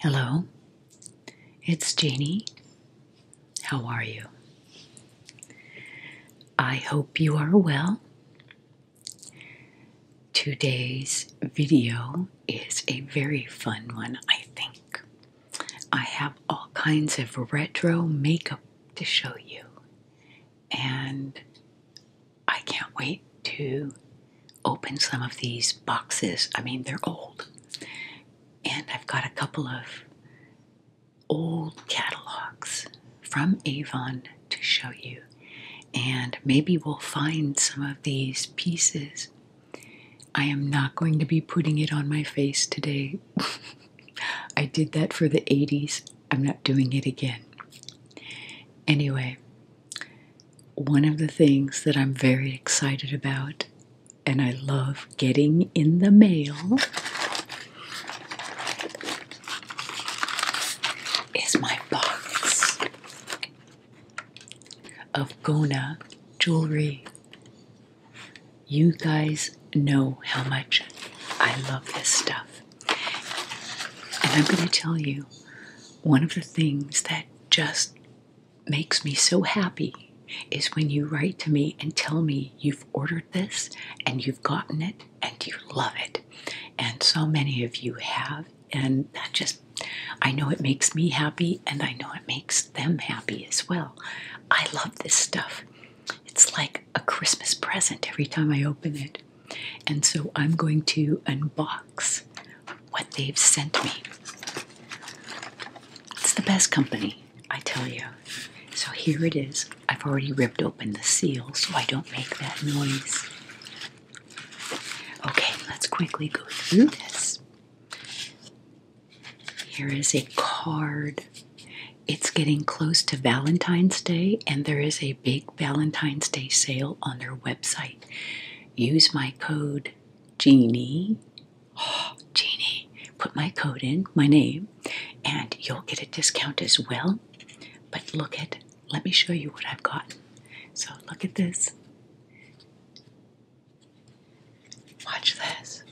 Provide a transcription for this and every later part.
Hello, it's Jeannie. How are you? I hope you are well. Today's video is a very fun one, I think. I have all kinds of retro makeup to show you, and I can't wait to open some of these boxes. I mean, they're old, and I've got a couple of old catalogs from Avon to show you, and maybe we'll find some of these pieces. I am not going to be putting it on my face today I did that for the 80s. I'm not doing it again. Anyway, one of the things that I'm very excited about and I love getting in the mail is my box of Gona jewelry. You guys know how much I love this stuff. And I'm going to tell you one of the things that just makes me so happy is when you write to me and tell me you've ordered this and you've gotten it and you love it. And so many of you have. And that just, I know it makes me happy and I know it makes them happy as well. I love this stuff. It's like a Christmas present every time I open it. And so I'm going to unbox what they've sent me. It's the best company, I tell you. So here it is. I've already ripped open the seal so I don't make that noise. Okay, let's quickly go through this. Here is a card. It's getting close to Valentine's Day, and there is a big Valentine's Day sale on their website. Use my code Jeannie. Oh, Jeannie. Put my code in, my name, and you'll get a discount as well. But look at, let me show you what I've got. So look at this. Watch this.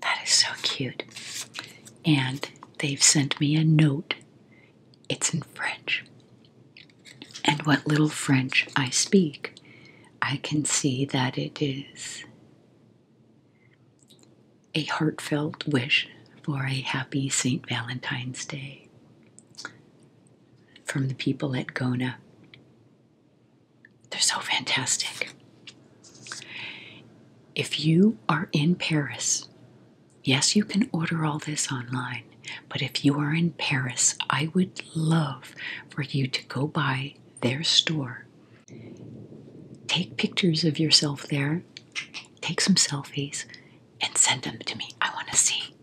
That is so cute. And they've sent me a note. It's in French. And what little French I speak, I can see that it is a heartfelt wish for a happy St. Valentine's Day from the people at Gona. They're so fantastic. If you are in Paris, yes, you can order all this online, but if you are in Paris, I would love for you to go by their store. Take pictures of yourself there take some selfies, and send them to me. I want to see.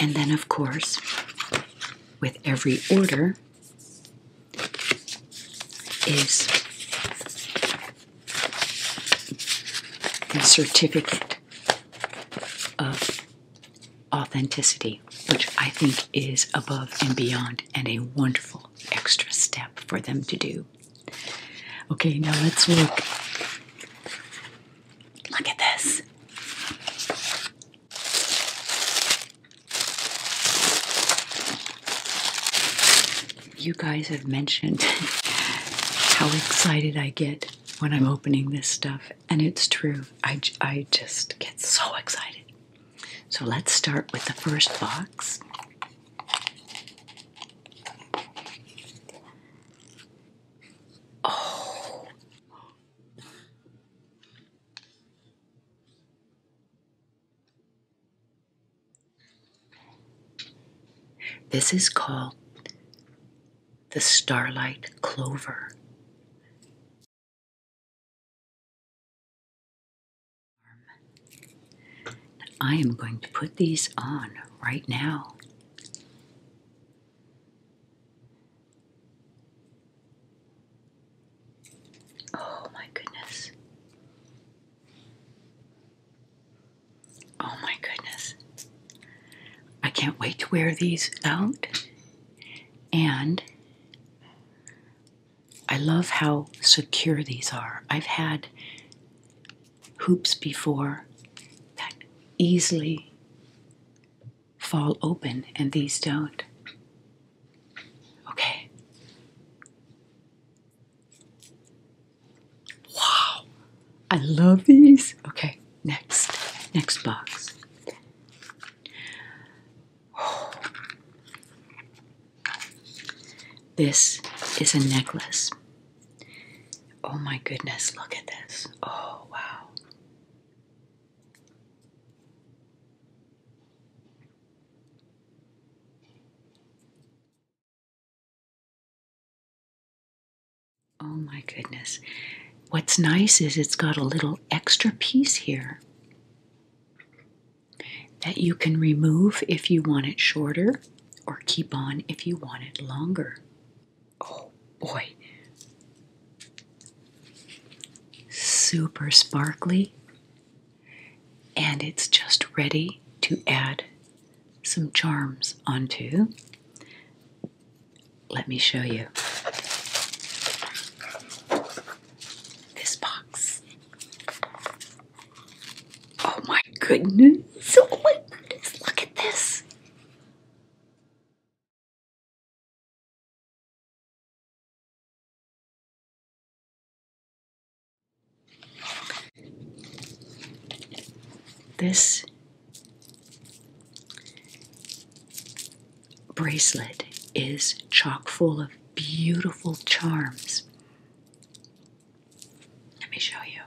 And then, of course, with every order is the certificate of authenticity, which I think is above and beyond and a wonderful extra step for them to do. Okay, now let's look. Look at this. You guys have mentioned how excited I get when I'm opening this stuff, and it's true. I, I just get so excited. So let's start with the first box. Oh. This is called the starlight clover. I am going to put these on right now. Oh my goodness. Oh my goodness. I can't wait to wear these out. And I love how secure these are. I've had hoops before that easily fall open, and these don't. Okay. Wow. I love these. Okay, next. Next box. This is a necklace. Oh my goodness, look at this. Oh wow. Oh my goodness. What's nice is it's got a little extra piece here that you can remove if you want it shorter or keep on if you want it longer. Oh boy. Super sparkly, and it's just ready to add some charms onto. Let me show you this box. Oh my goodness. Oh my goodness. Look at this. This bracelet is chock full of beautiful charms. Let me show you.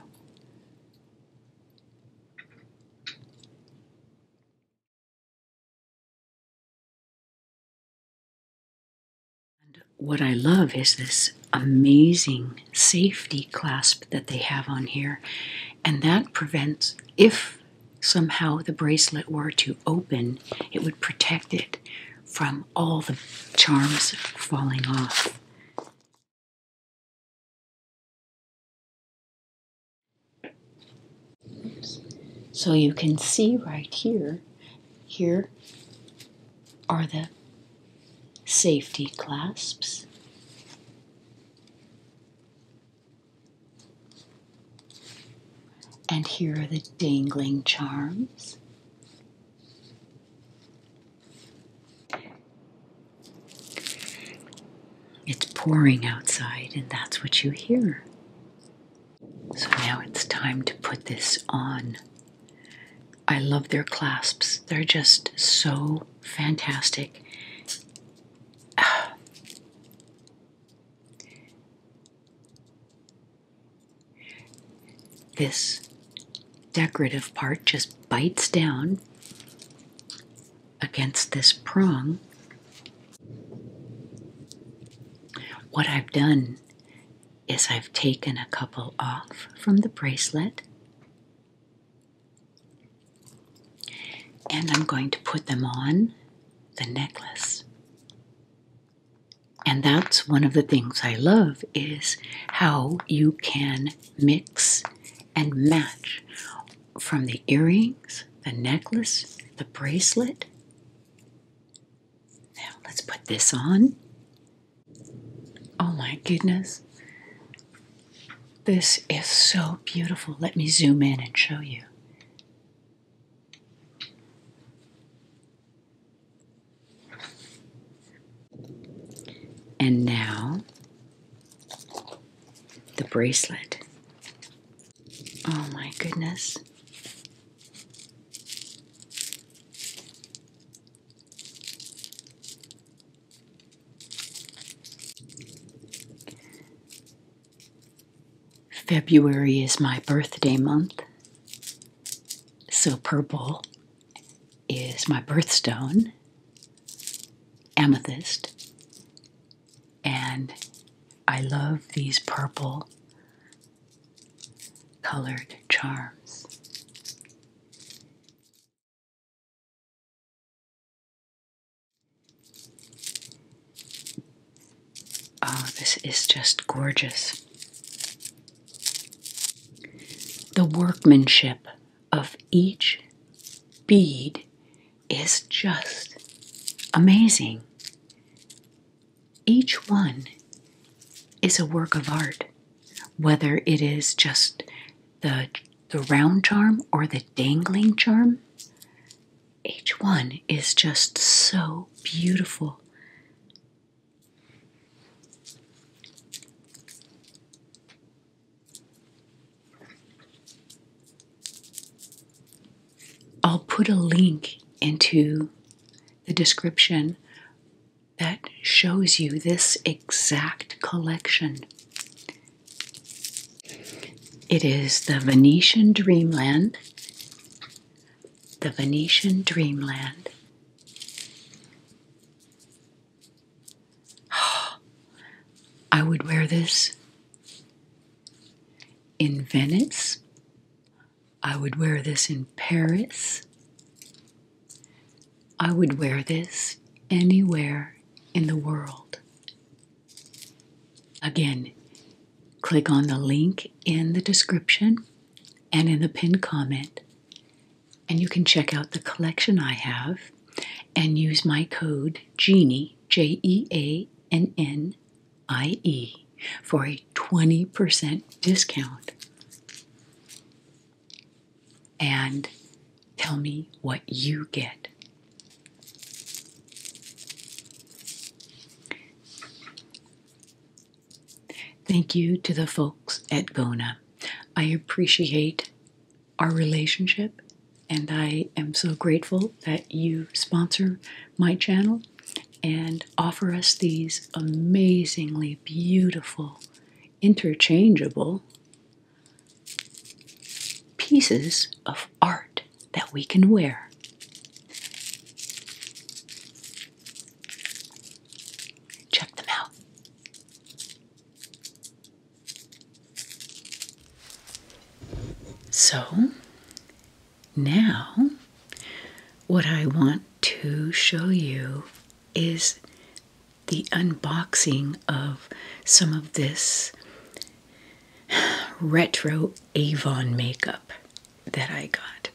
what I love is this amazing safety clasp that they have on here, and that prevents if somehow the bracelet were to open, it would protect it from all the charms falling off. So you can see right here, here are the safety clasps. And here are the dangling charms. It's pouring outside, and that's what you hear. So now it's time to put this on. I love their clasps, they're just so fantastic. This decorative part just bites down against this prong. What I've done is I've taken a couple off from the bracelet and I'm going to put them on the necklace. And that's one of the things I love is how you can mix and match from the earrings, the necklace, the bracelet. Now let's put this on. Oh my goodness. This is so beautiful. Let me zoom in and show you. And now the bracelet. Oh my goodness. February is my birthday month, so purple is my birthstone, amethyst, and I love these purple colored charms. Oh, this is just gorgeous. The workmanship of each bead is just amazing. Each one is a work of art, whether it is just the, the round charm or the dangling charm. Each one is just so beautiful I'll put a link into the description that shows you this exact collection. It is the Venetian Dreamland the Venetian dreamland. I would wear this in Venice. I would wear this in Paris. I would wear this anywhere in the world. Again, click on the link in the description and in the pinned comment. And you can check out the collection I have and use my code GENIE, J E A N N I E, for a 20% discount. And tell me what you get. Thank you to the folks at Gona. I appreciate our relationship and I am so grateful that you sponsor my channel and offer us these amazingly beautiful, interchangeable pieces of art that we can wear. Check them out. So, now what I want to show you is the unboxing of some of this retro Avon makeup that I got.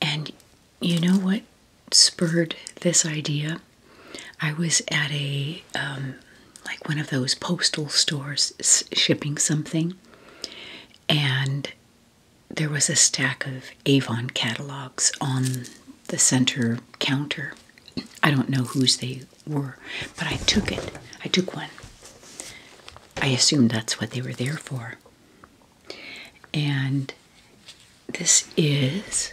And you know what spurred this idea? I was at a um, like one of those postal stores shipping something, and there was a stack of Avon catalogs on the center counter. I don't know whose they were, but I took it. I took one. I assumed that's what they were there for and this is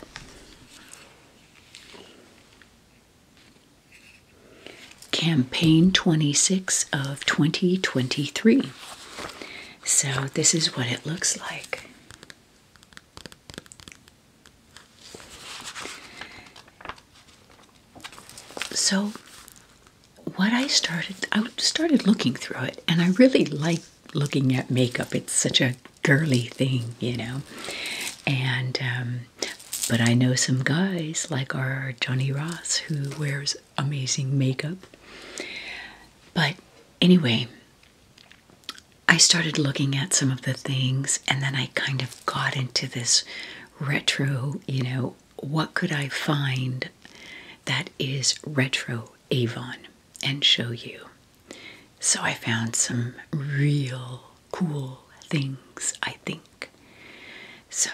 campaign 26 of 2023 so this is what it looks like so what i started i started looking through it and i really like looking at makeup. It's such a girly thing, you know. And um, but I know some guys like our Johnny Ross who wears amazing makeup. But anyway, I started looking at some of the things and then I kind of got into this retro, you know, what could I find that is retro Avon and show you. So I found some real cool things, I think. So,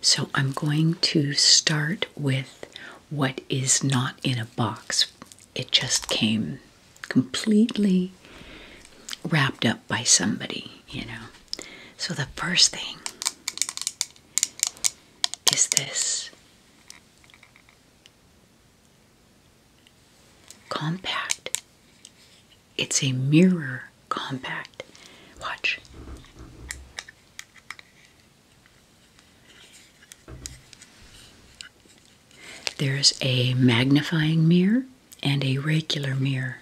so I'm going to start with what is not in a box. It just came completely wrapped up by somebody, you know. So the first thing is this compact. It's a mirror compact. Watch. There's a magnifying mirror and a regular mirror.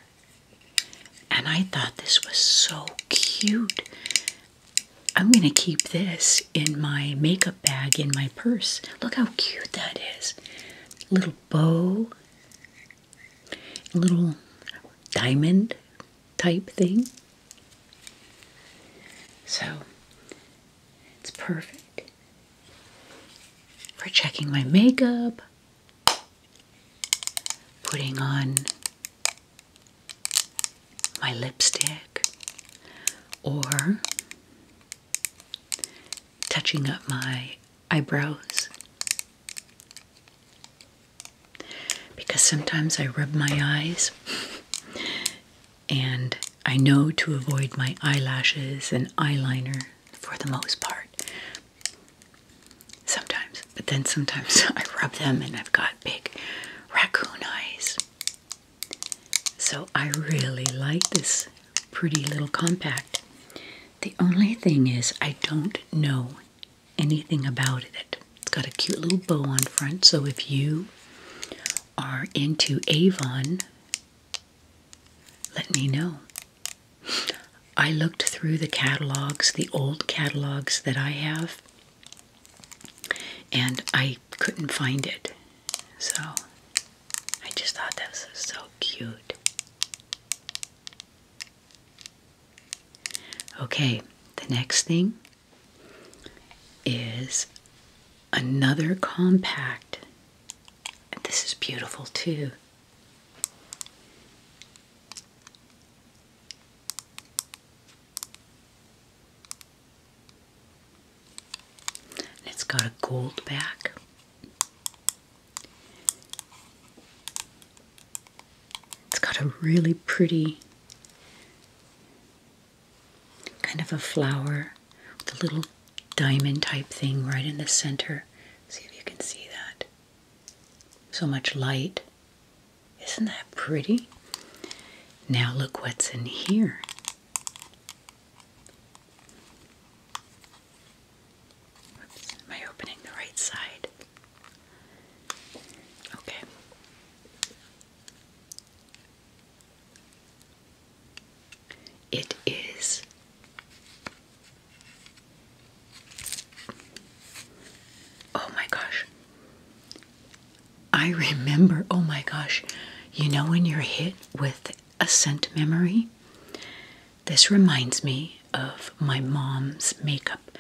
And I thought this was so cute. I'm going to keep this in my makeup bag in my purse. Look how cute that is. Little bow, little diamond type thing. So it's perfect for checking my makeup, putting on my lipstick, or touching up my eyebrows. Because sometimes I rub my eyes and I know to avoid my eyelashes and eyeliner for the most part. Sometimes, but then sometimes I rub them and I've got big raccoon eyes. So I really like this pretty little compact. The only thing is I don't know anything about it. It's got a cute little bow on front, so if you are into Avon, let me know. I looked through the catalogs, the old catalogs that I have, and I couldn't find it. So I just thought that was so cute. Okay, the next thing is another compact. this is beautiful too it's got a gold back. It's got a really pretty kind of a flower with a little diamond type thing right in the center. See if you can see that. So much light. Isn't that pretty? Now look what's in here. Oops, opening the right side? Okay. It is Oh my gosh. I remember, oh my gosh, you know when you're hit with a scent memory? This reminds me of my mom's makeup.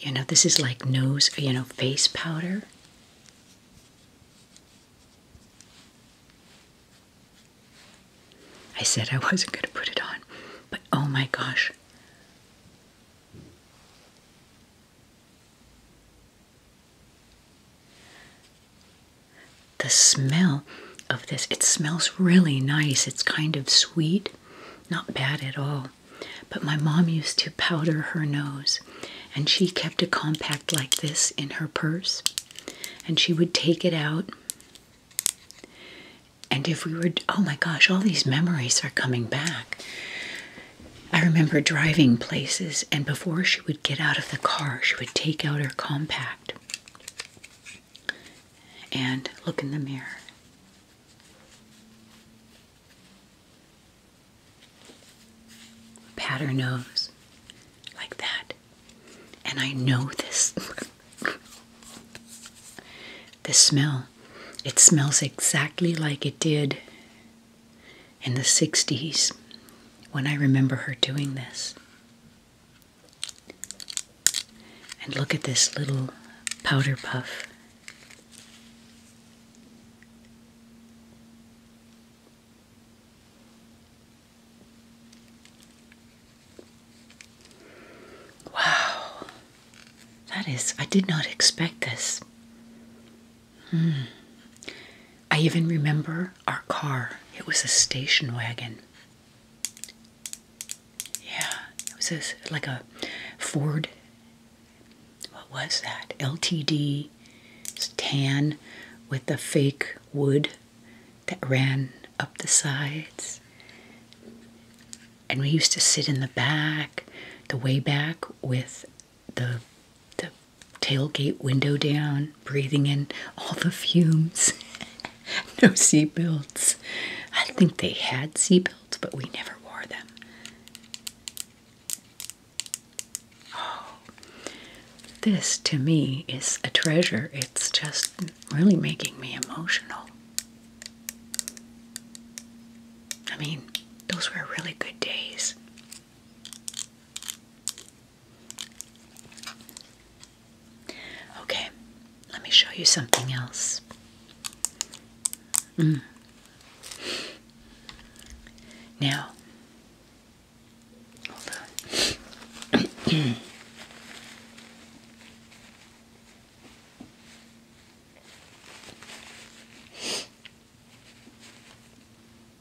You know, this is like nose, you know, face powder. I said I wasn't going to put it on, but oh my gosh. The smell of this, it smells really nice. It's kind of sweet, not bad at all. But my mom used to powder her nose, and she kept a compact like this in her purse, and she would take it out. And if we were, oh my gosh, all these memories are coming back. I remember driving places, and before she would get out of the car, she would take out her compact and look in the mirror. Pat nose like that. And I know this. the smell. It smells exactly like it did in the 60s when I remember her doing this. And look at this little powder puff. Wow, that is, I did not expect this. Hmm. I even remember our car. It was a station wagon. Yeah, it was a, like a Ford. What was that? LTD. tan with the fake wood that ran up the sides. And we used to sit in the back, the way back, with the the tailgate window down, breathing in all the fumes. no seat belts. I think they had seat belts, but we never wore them. Oh, this to me is a treasure. It's just really making me emotional. I mean, those were really good days. Okay, let me show you something else. Mm. Now, hold on.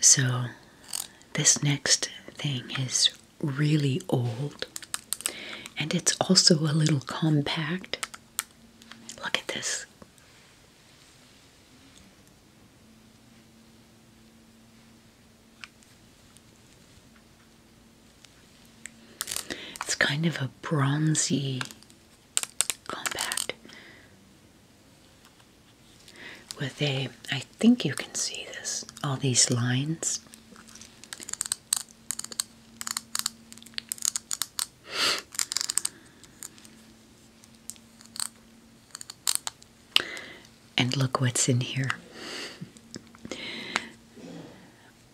So, this next thing is really old and it's also a little compact. Look at this. It's kind of a bronzy compact with a, I think you can see this, all these lines. And look what's in here.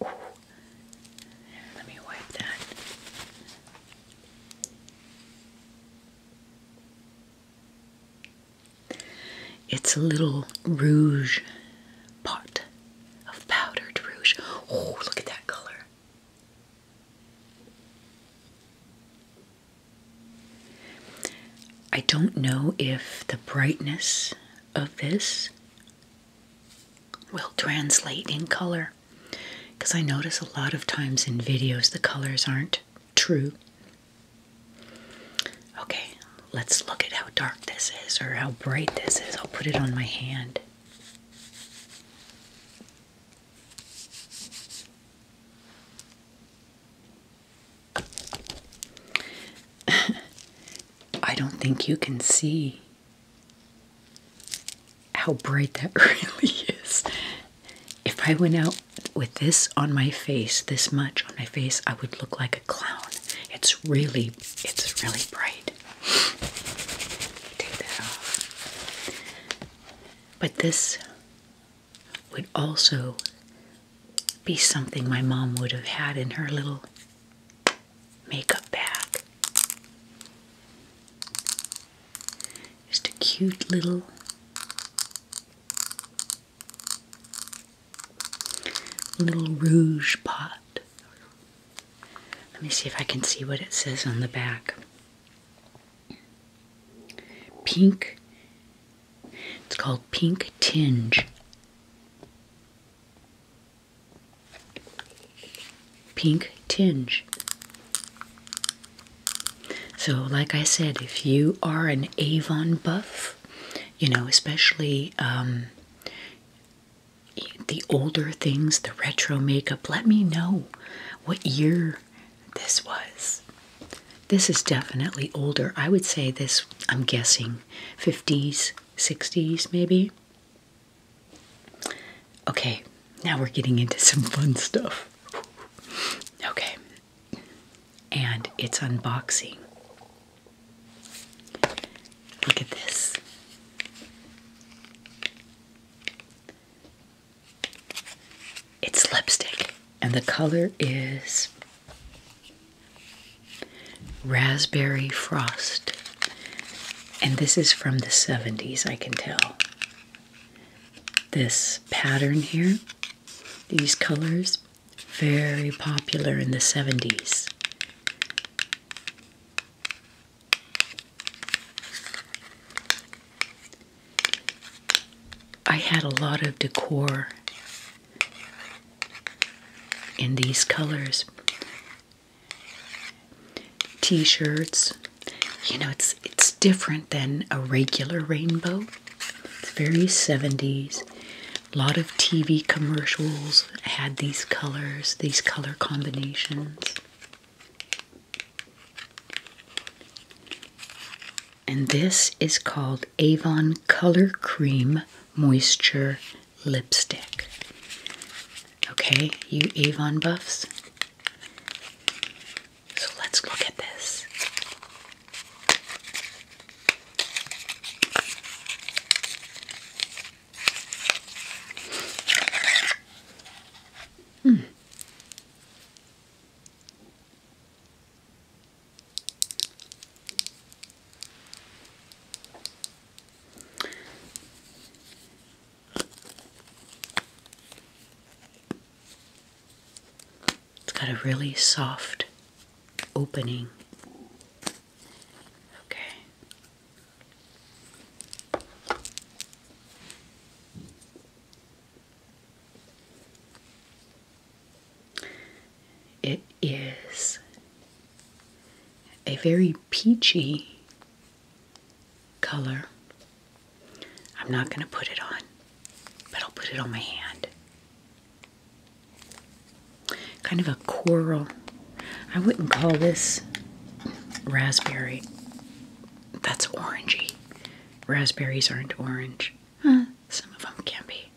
Let me wipe that. It's a little rouge pot of powdered rouge. Oh, look at that color. I don't know if the brightness of this will translate in color because I notice a lot of times in videos the colors aren't true. Okay, let's look at how dark this is or how bright this is. I'll put it on my hand. I don't think you can see how bright that really is. If I went out with this on my face, this much on my face, I would look like a clown. It's really, it's really bright. Take that off. But this would also be something my mom would have had in her little makeup bag. Just a cute little little rouge pot. Let me see if I can see what it says on the back. Pink it's called Pink Tinge. Pink Tinge. So, like I said, if you are an Avon buff, you know, especially um, the older things, the retro makeup, let me know what year this was. This is definitely older. I would say this, I'm guessing, 50s, 60s maybe. Okay, now we're getting into some fun stuff. Okay, and it's unboxing. Look at this. It's lipstick, and the color is Raspberry Frost. And this is from the 70s, I can tell. This pattern here, these colors, very popular in the 70s. I had a lot of decor in these colors. T-shirts. You know, it's it's different than a regular rainbow. It's very 70s. A lot of TV commercials had these colors, these color combinations and this is called Avon Color Cream Moisture Lipstick. Okay, you Avon buffs. So let's look at this. Hmm. It's got a really soft opening. Okay. It is a very peachy color. I'm not going to put it on, but I'll put it on my hand. Kind of a coral. I wouldn't call this raspberry. That's orangey. Raspberries aren't orange. Huh? some of them can be.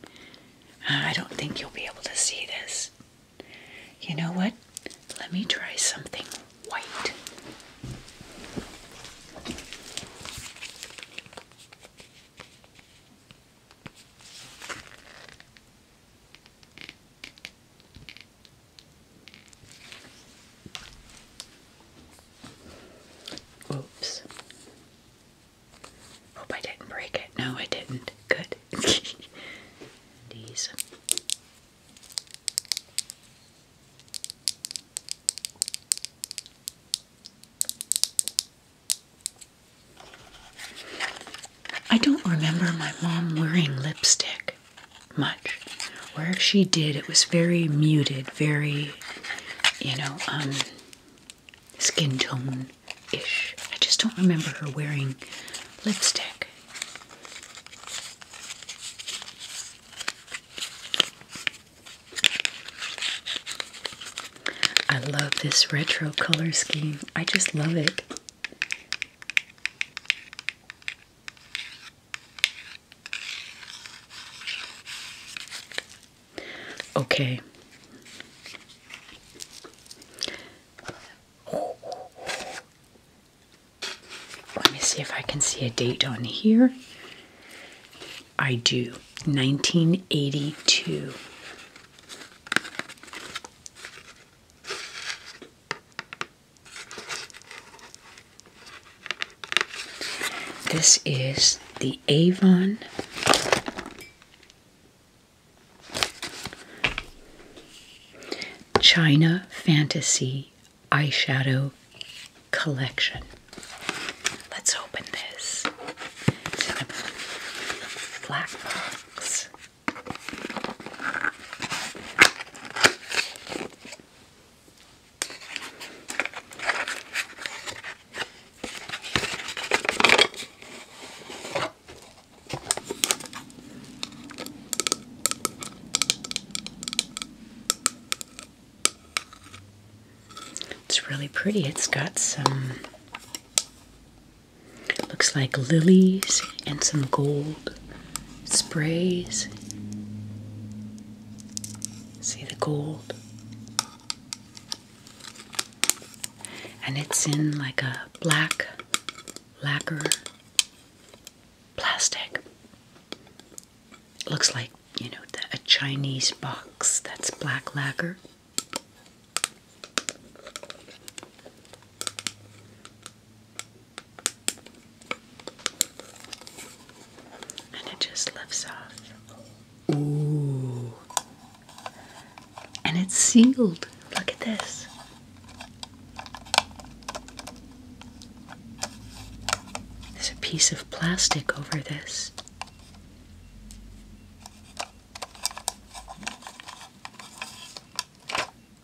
I don't think you'll be able to see this. You know what? Let me try something white. Oops. Hope I didn't break it. No, I didn't. Good. These. I don't remember my mom wearing lipstick much. Where she did, it was very muted, very, you know, um, skin tone ish. I just don't remember her wearing lipstick. I love this retro color scheme. I just love it. Okay. Let me see if I can see a date on here. I do. 1982. This is the Avon China Fantasy Eyeshadow Collection. Let's open this. black box. It's really pretty. It's got some looks like lilies and some gold sprays. See the gold? and it's in like a black lacquer plastic. looks like, you know, a Chinese box that's black lacquer. And it just lifts off. Ooh. And it's sealed. Look at this. There's a piece of plastic over this.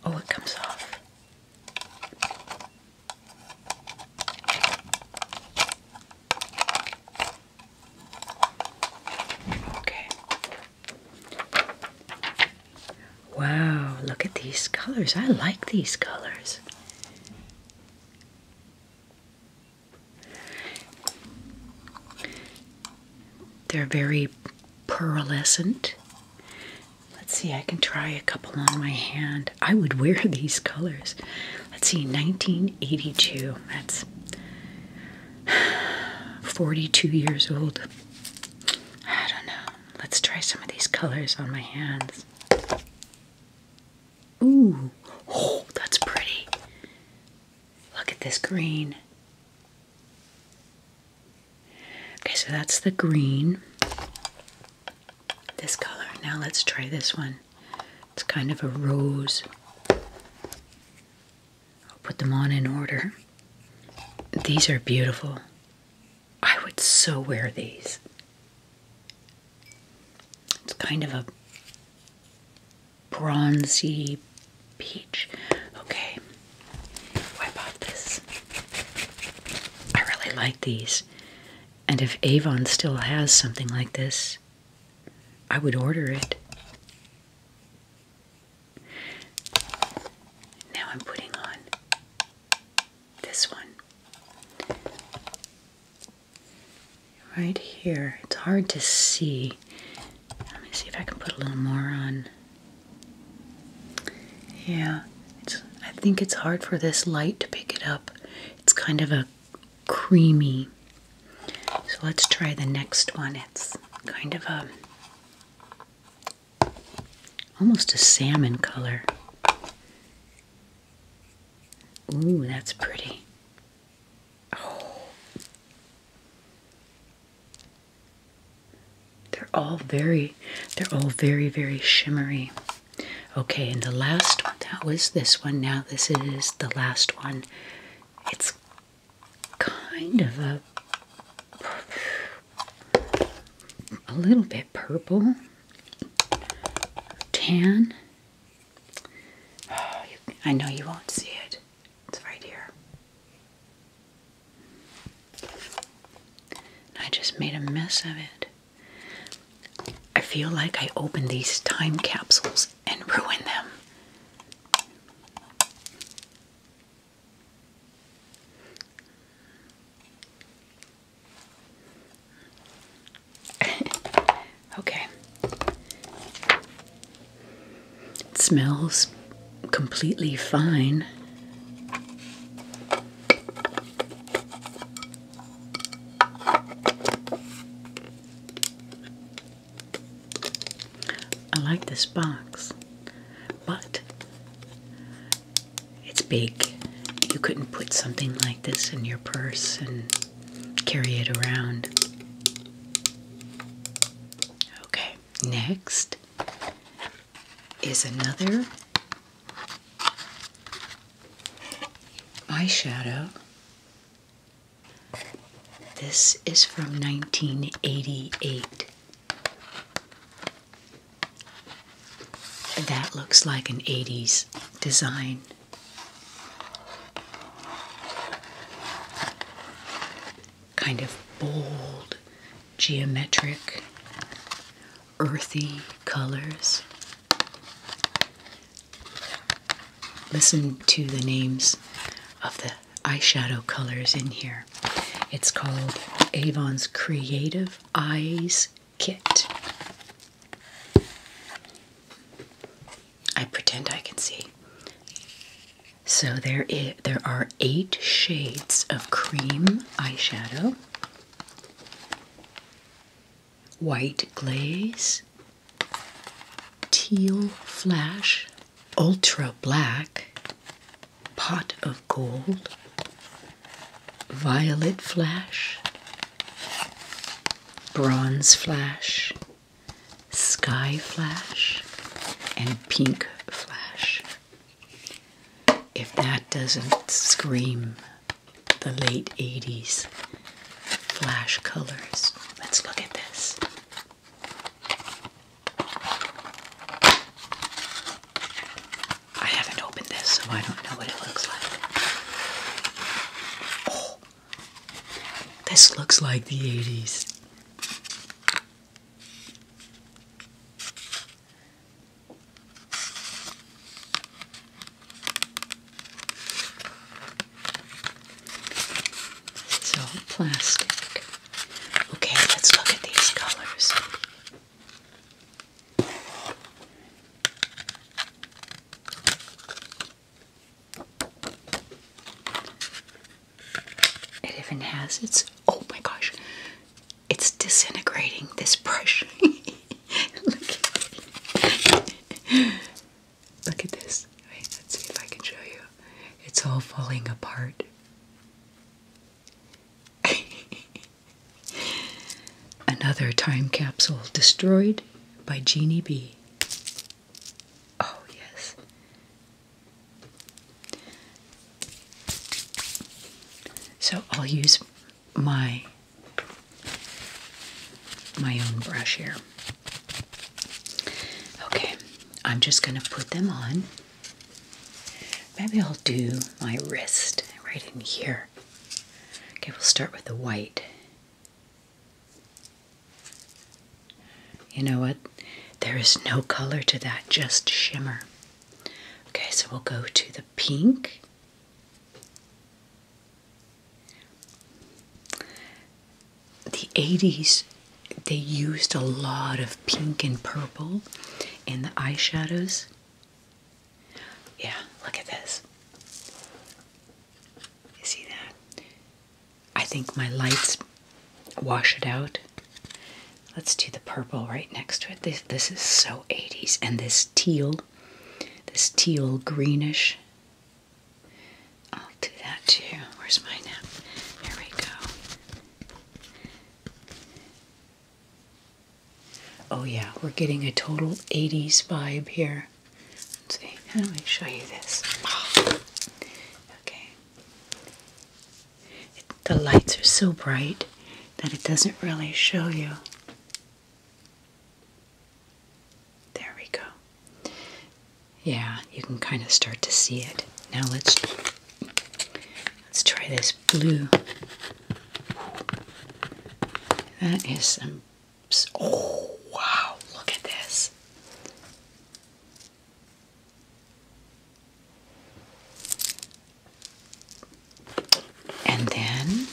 Oh, it comes off. Okay. Wow, look at these colors. I like these colors. They're very pearlescent. Let's see, I can try a couple on my hand. I would wear these colors. Let's see, 1982 that's 42 years old. I don't know. Let's try some of these colors on my hands. Ooh, oh, that's pretty. Look at this green. Okay, so that's the green. This color. Now let's try this one. It's kind of a rose. I'll put them on in order. These are beautiful. I would so wear these. It's kind of a bronzy peach. Okay, wipe off this. I really like these. And if Avon still has something like this, I would order it. Now I'm putting on this one. Right here. It's hard to see. Let me see if I can put a little more on. Yeah, I think it's hard for this light to pick it up. It's kind of a creamy. So let's try the next one. It's kind of a almost a salmon color. Ooh, that's pretty. Oh. They're all very they're all very very shimmery. Okay, and the last that was this one. Now this is the last one. It's kind of a a little bit purple, tan. I know you won't see it. It's right here. I just made a mess of it. I feel like I open these time capsules and ruin them. okay. It smells completely fine. I like this box, but it's big. You couldn't put something like this in your purse and carry it around. Okay, next is another eyeshadow this is from 1988. That looks like an 80s design. Kind of bold, geometric, earthy colors. Listen to the names of the eyeshadow colors in here. It's called Avon's Creative Eyes Kit. I pretend I can see. So there, is, there are eight shades of cream eyeshadow, white glaze, Teal Flash, Ultra Black, Pot of Gold, Violet Flash, Bronze Flash, Sky Flash, and Pink Flash. If that doesn't scream the late 80s flash colors. Let's look at this. I haven't opened this, so I don't know what it looks like. Oh, this looks like the 80s. It's plastic. Okay, let's look at these colors. It even has its oh my gosh, it's disintegrating this brush. Look. Look at this. let's see if I can show you. It's all falling apart. Another time capsule destroyed by Genie B. Oh, yes. So I'll use my my own brush here. Okay, I'm just going to put them on. Maybe I'll do my wrist right in here. Okay, we'll start with the white. You know what? There is no color to that, just shimmer. Okay, so we'll go to the pink. The 80s, they used a lot of pink and purple in the eyeshadows. Yeah, look at this. You see that? I think my lights wash it out. Let's do the purple right next to it. This, this is so 80s. And this teal, this teal greenish I'll do that too. Where's my nap? Here we go. Oh yeah, we're getting a total 80s vibe here. let me show you this? Okay. the lights are so bright that it doesn't really show you. There we go. Yeah, you can kind of start to see it. Now let's let's try this blue. That is some oh wow, look at this. And then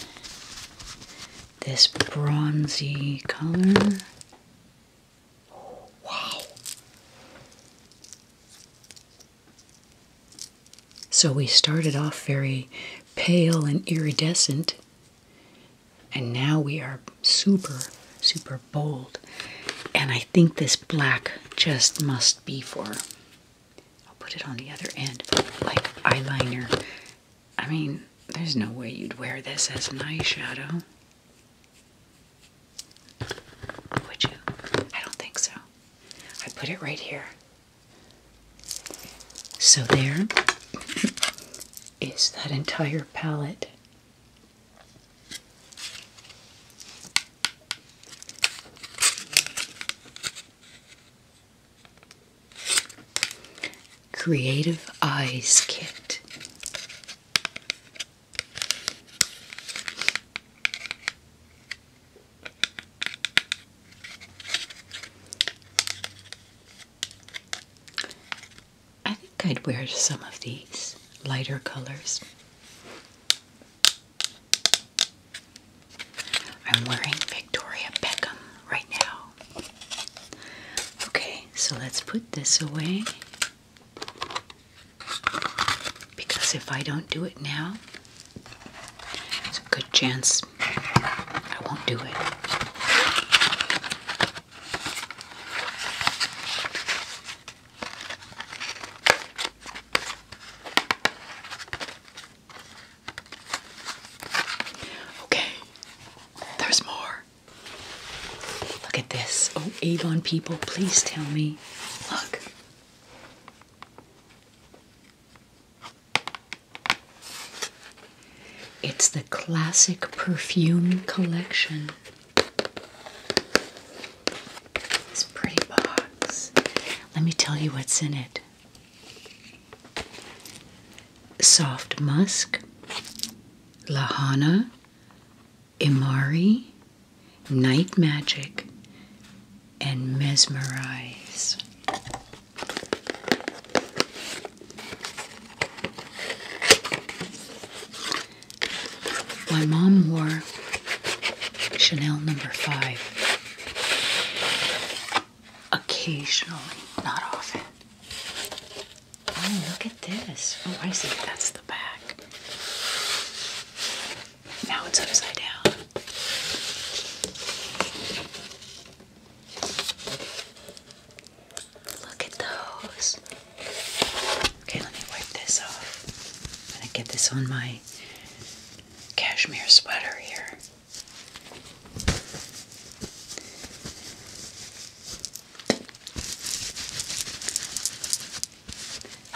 this bronzy color. Wow. So we started off very pale and iridescent, and now we are super, super bold. And I think this black just must be for, I'll put it on the other end, like eyeliner I mean, there's no way you'd wear this as an eyeshadow. Would you? I don't think so. I put it right here. So there is that entire palette. Creative Eyes Kit. I think I'd wear some of these lighter colors. I'm wearing Victoria Beckham right now. Okay, so let's put this away because if I don't do it now, it's a good chance I won't do it. Okay, there's more. Look at this. Oh, Avon people, please tell me. Look. It's the classic perfume collection. This pretty box. Let me tell you what's in it soft musk, lahana, imari, night magic, and mesmerize. My mom wore Chanel number five occasionally, not often. Oh, look at this. Oh, I see. That's the back. Now it's upside down. Look at those. Okay, let me wipe this off. going to get this on my cashmere sweater here.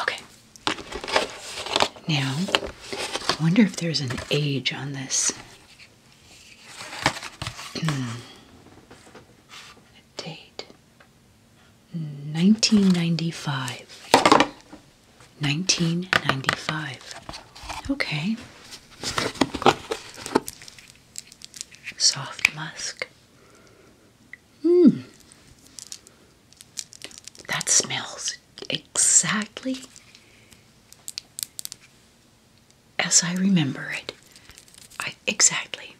Okay. Now, I wonder if there's an age on this. Hmm. a date. 1995. 1995. Okay soft musk. Mmm. That smells exactly as I remember it. I exactly.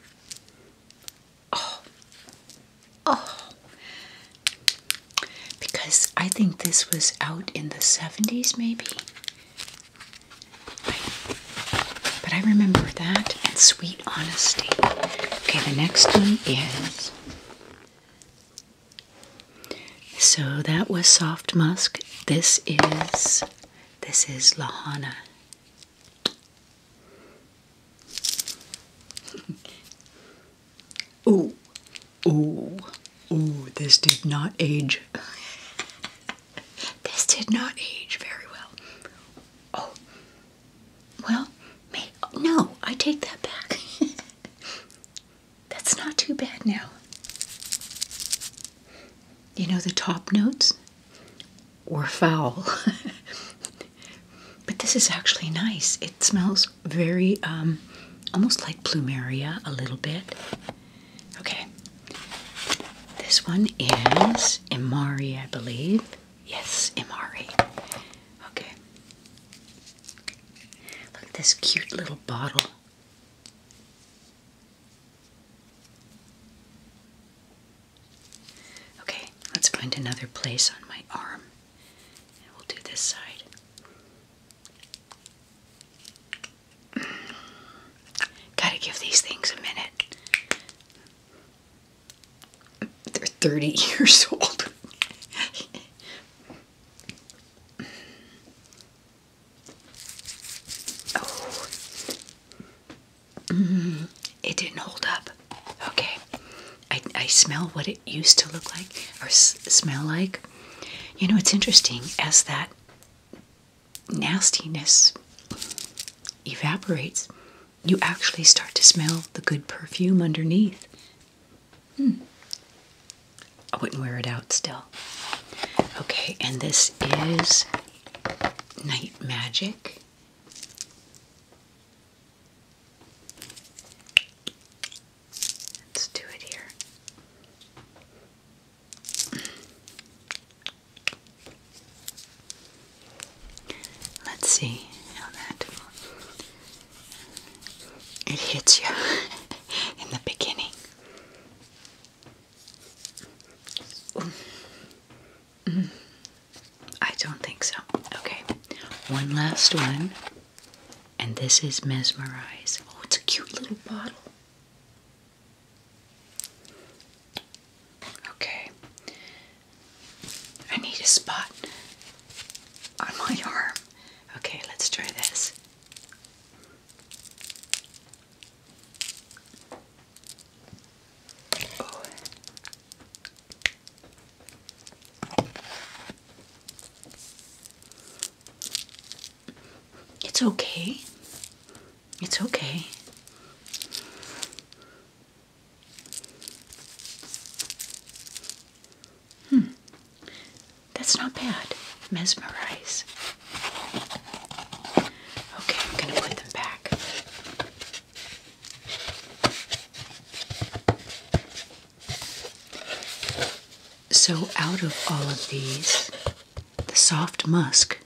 Oh. Oh. Because I think this was out in the 70s maybe. But I remember that and sweet honesty. Okay, the next one is. So that was soft musk. This is this is Lahana. ooh, ooh, ooh, this did not age this did not age very well. Oh, well, no, I take that back. That's not too bad now. You know, the top notes were foul. but this is actually nice. It smells very, um, almost like plumeria a little bit. Okay. This one is Imari, I believe. Yes, Imari. Okay. Look at this cute little bottle. Okay, let's find another place on my arm and we'll do this side. Gotta give these things a minute. They're 30 years old. Oh. Mm-hmm. it didn't hold up. Okay. I, I smell what it used to look like or smell like. You know, it's interesting as that nastiness evaporates, you actually start to smell the good perfume underneath. Hmm. I wouldn't wear it out still. Okay, and this is Night Magic. Let's do it here. Let's see how that it hits you in the beginning. Mm-hmm. I don't think so. Okay, one last one, and this is Mesmerize. Oh, it's a cute little bottle. Okay. I need a spot on my arm. Okay, let's try this. It's okay. It's okay. Hmm. That's not bad. Mesmerize. Okay, I'm going to put them back. So, out of all of these, the soft musk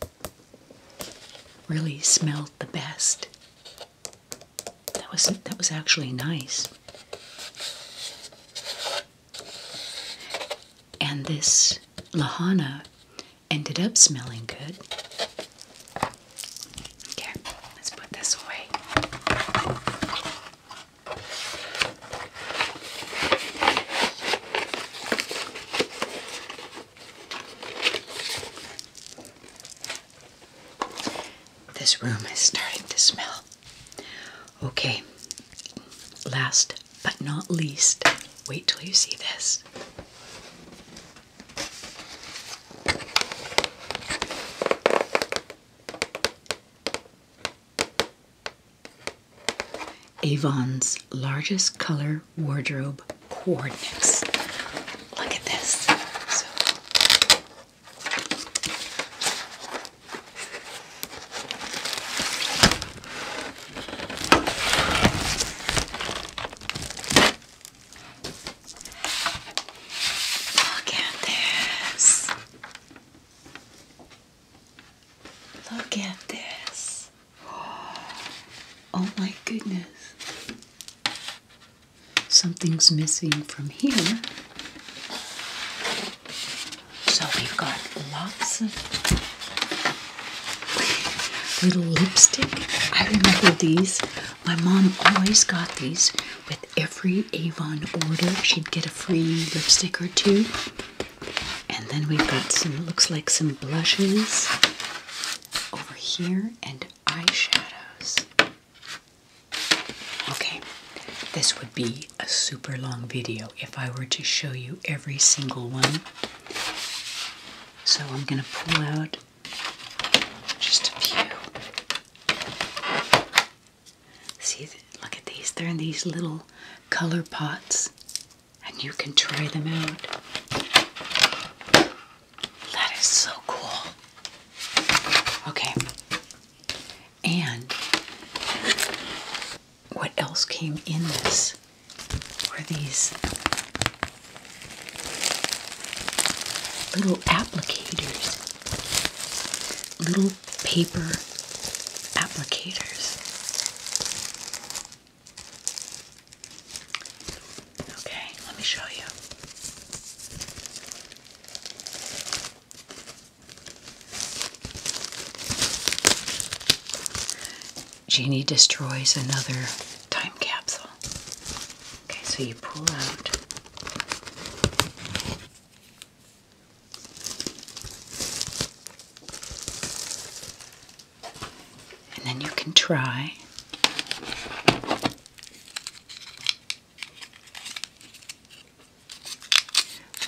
really smelled the best. That was that was actually nice. And this lahana ended up smelling good. Okay, let's put this away. This room is starting to smell. Okay, last but not least, wait till you see this. Avon's largest color wardrobe coordinates. Look at this. Look at this. Look at this. Oh my goodness. Something's missing from here. So we've got lots of little lipstick. I remember these. My mom always got these with every Avon order. She'd get a free lipstick or two. And then we've got some, looks like some blushes over here and eyeshadows. Okay, this would be a super long video if I were to show you every single one. So I'm going to pull out just a few. See, look at these. They're in these little color pots and you can try them out. That is so cool. Okay. And what else came in this were these little applicators, little paper applicators. Okay, let me show you. Genie destroys another time capsule. Okay, so you pull out and then you can try.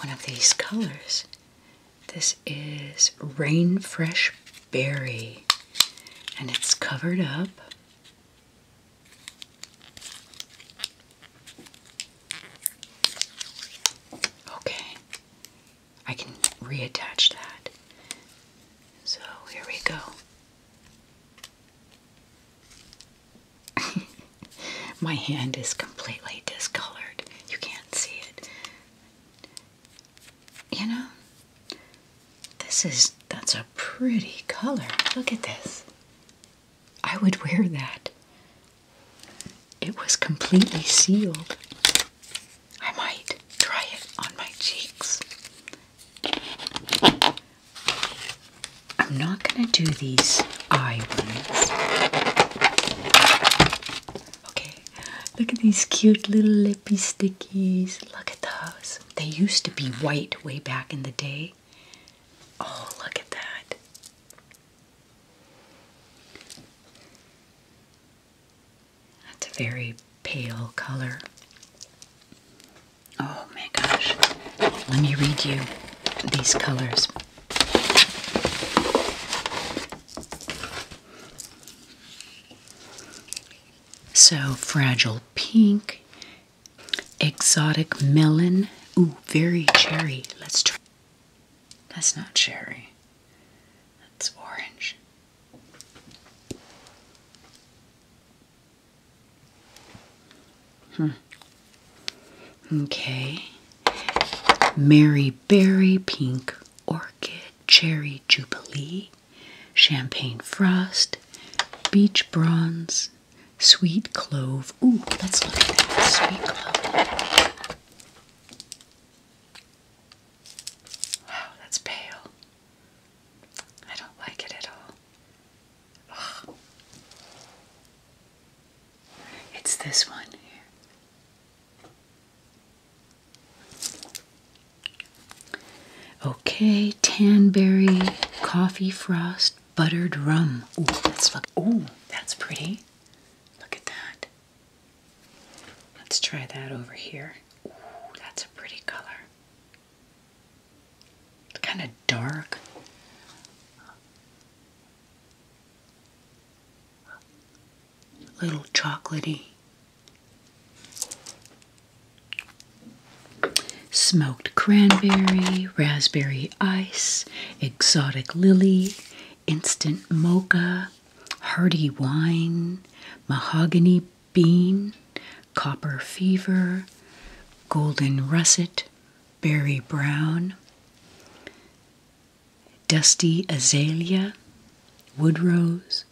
One of these colors. This is Rain Fresh Berry, and it's covered up. Okay, I can reattach that. So here we go. My hand is completely discolored. You can't see it. You know, this is, that's a pretty color. Look at this. I would wear that. It was completely sealed. I might try it on my cheeks. I'm not going to do these eye ones. Okay, look at these cute little lippy stickies. Look at those. They used to be white way back in the day. Oh, look at that. That's a very pale color. Oh my gosh. Let me read you these colors. So, fragile pink, exotic melon. Ooh, very cherry. Let's try. That's not cherry. That's orange. Hmm. Okay. Mary Berry, Pink Orchid, Cherry Jubilee, Champagne Frost, Beach Bronze, Sweet Clove. Ooh, let's look at that. Sweet Clove. Wow, that's pale. I don't like it at all. It's this one here. Okay, tanberry, coffee frost, buttered rum. Oh, that's look. Ooh, that's pretty. Look at that. Let's try that over here. that's a pretty color. kind of dark. little chocolaty. Smoked cranberry, raspberry ice, exotic lily, instant mocha, hearty wine, mahogany bean, copper fever, golden russet, berry brown, dusty azalea, wood rose,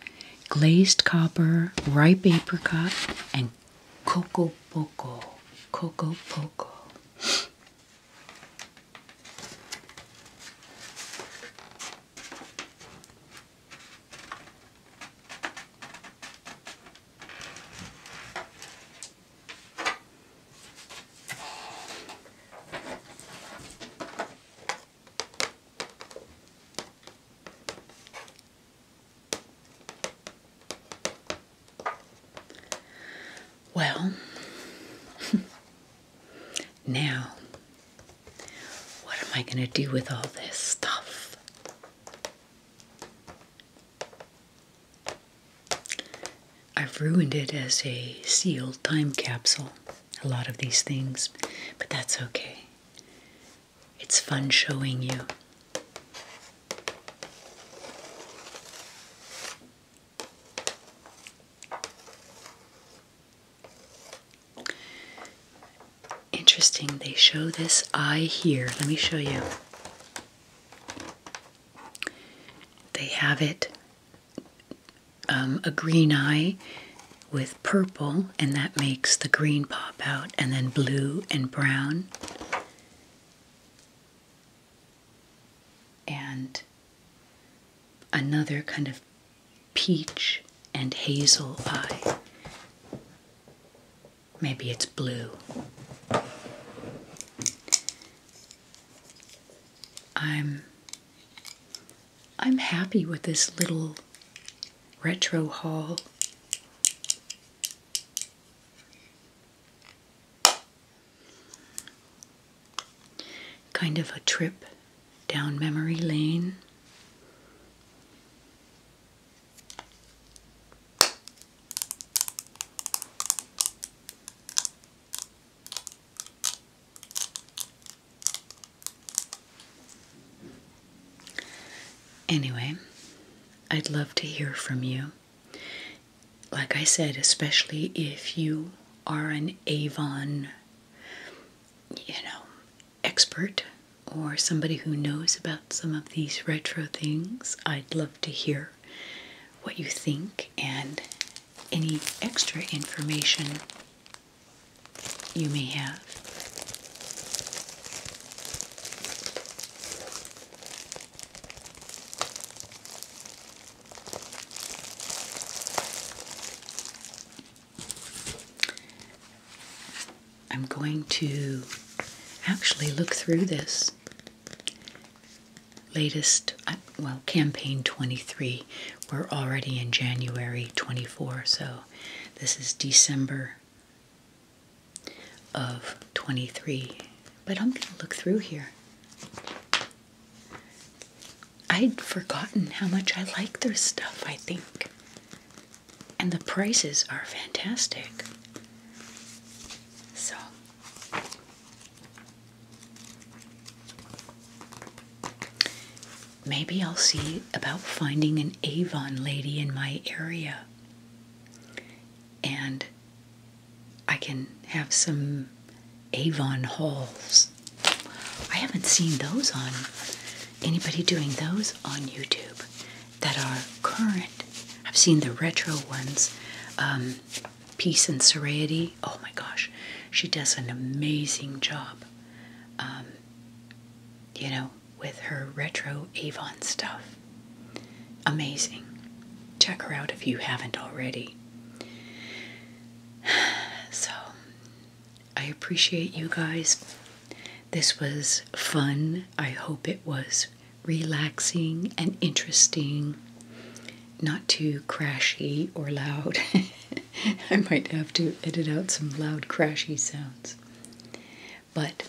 glazed copper, ripe apricot, and cocoa poco. cocoa poco. Well, now what am I going to do with all this stuff? I've ruined it as a sealed time capsule, a lot of these things, but that's okay. It's fun showing you. Interesting, they show this eye here. Let me show you. They have it um, a green eye with purple, and that makes the green pop out, and then blue and brown. And another kind of peach and hazel eye. Maybe it's blue. I'm I'm happy with this little retro haul. Kind of a trip down memory lane. Anyway, I'd love to hear from you. Like I said, especially if you are an Avon you know, expert or somebody who knows about some of these retro things, I'd love to hear what you think and any extra information you may have. I'm going to actually look through this latest, uh, well, campaign 23. We're already in January 24, so this is December of 23. But I'm going to look through here. I'd forgotten how much I like their stuff, I think and the prices are fantastic. So maybe I'll see about finding an Avon lady in my area and I can have some Avon hauls. I haven't seen those on anybody doing those on YouTube that are current. I've seen the retro ones. Um, Peace and Serenity. Oh my gosh, she does an amazing job. Um, you know, with her retro Avon stuff. Amazing. Check her out if you haven't already. So, I appreciate you guys. This was fun. I hope it was relaxing and interesting, not too crashy or loud. I might have to edit out some loud, crashy sounds. But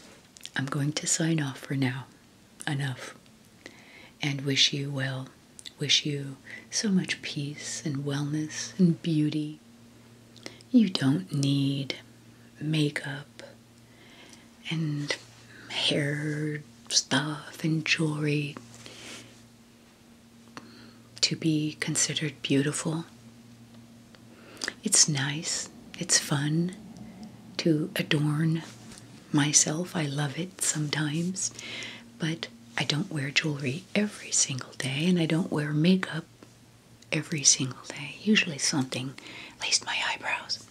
I'm going to sign off for now. Enough. And wish you well. Wish you so much peace and wellness and beauty you don't need makeup and hair stuff and jewelry to be considered beautiful. It's nice, it's fun to adorn myself. I love it sometimes, but I don't wear jewelry every single day and I don't wear makeup every single day. Usually something, at least my eyebrows.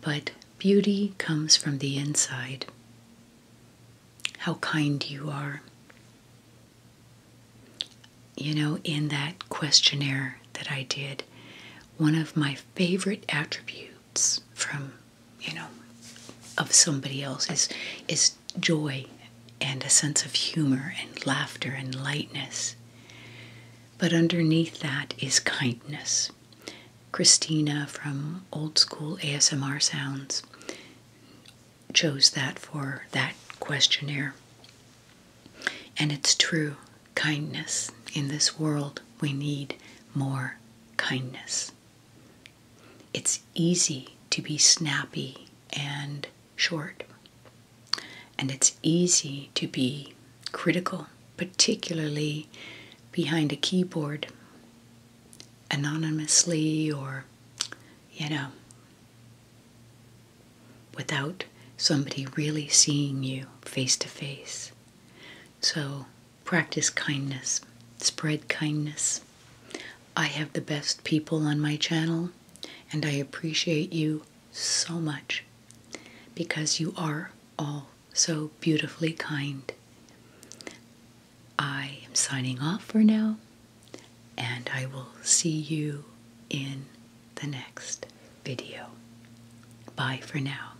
But beauty comes from the inside. How kind you are. You know, in that questionnaire that I did, one of my favorite attributes from, you know, of somebody else is, is joy and a sense of humor and laughter and lightness. But underneath that is kindness. Christina from Old School ASMR Sounds chose that for that questionnaire. And it's true kindness. In this world, we need more kindness. It's easy to be snappy and short. And it's easy to be critical, particularly behind a keyboard, anonymously or, you know, without somebody really seeing you face to face. So practice kindness, spread kindness. I have the best people on my channel, and I appreciate you so much because you are all so beautifully kind. I am signing off for now, and I will see you in the next video. Bye for now.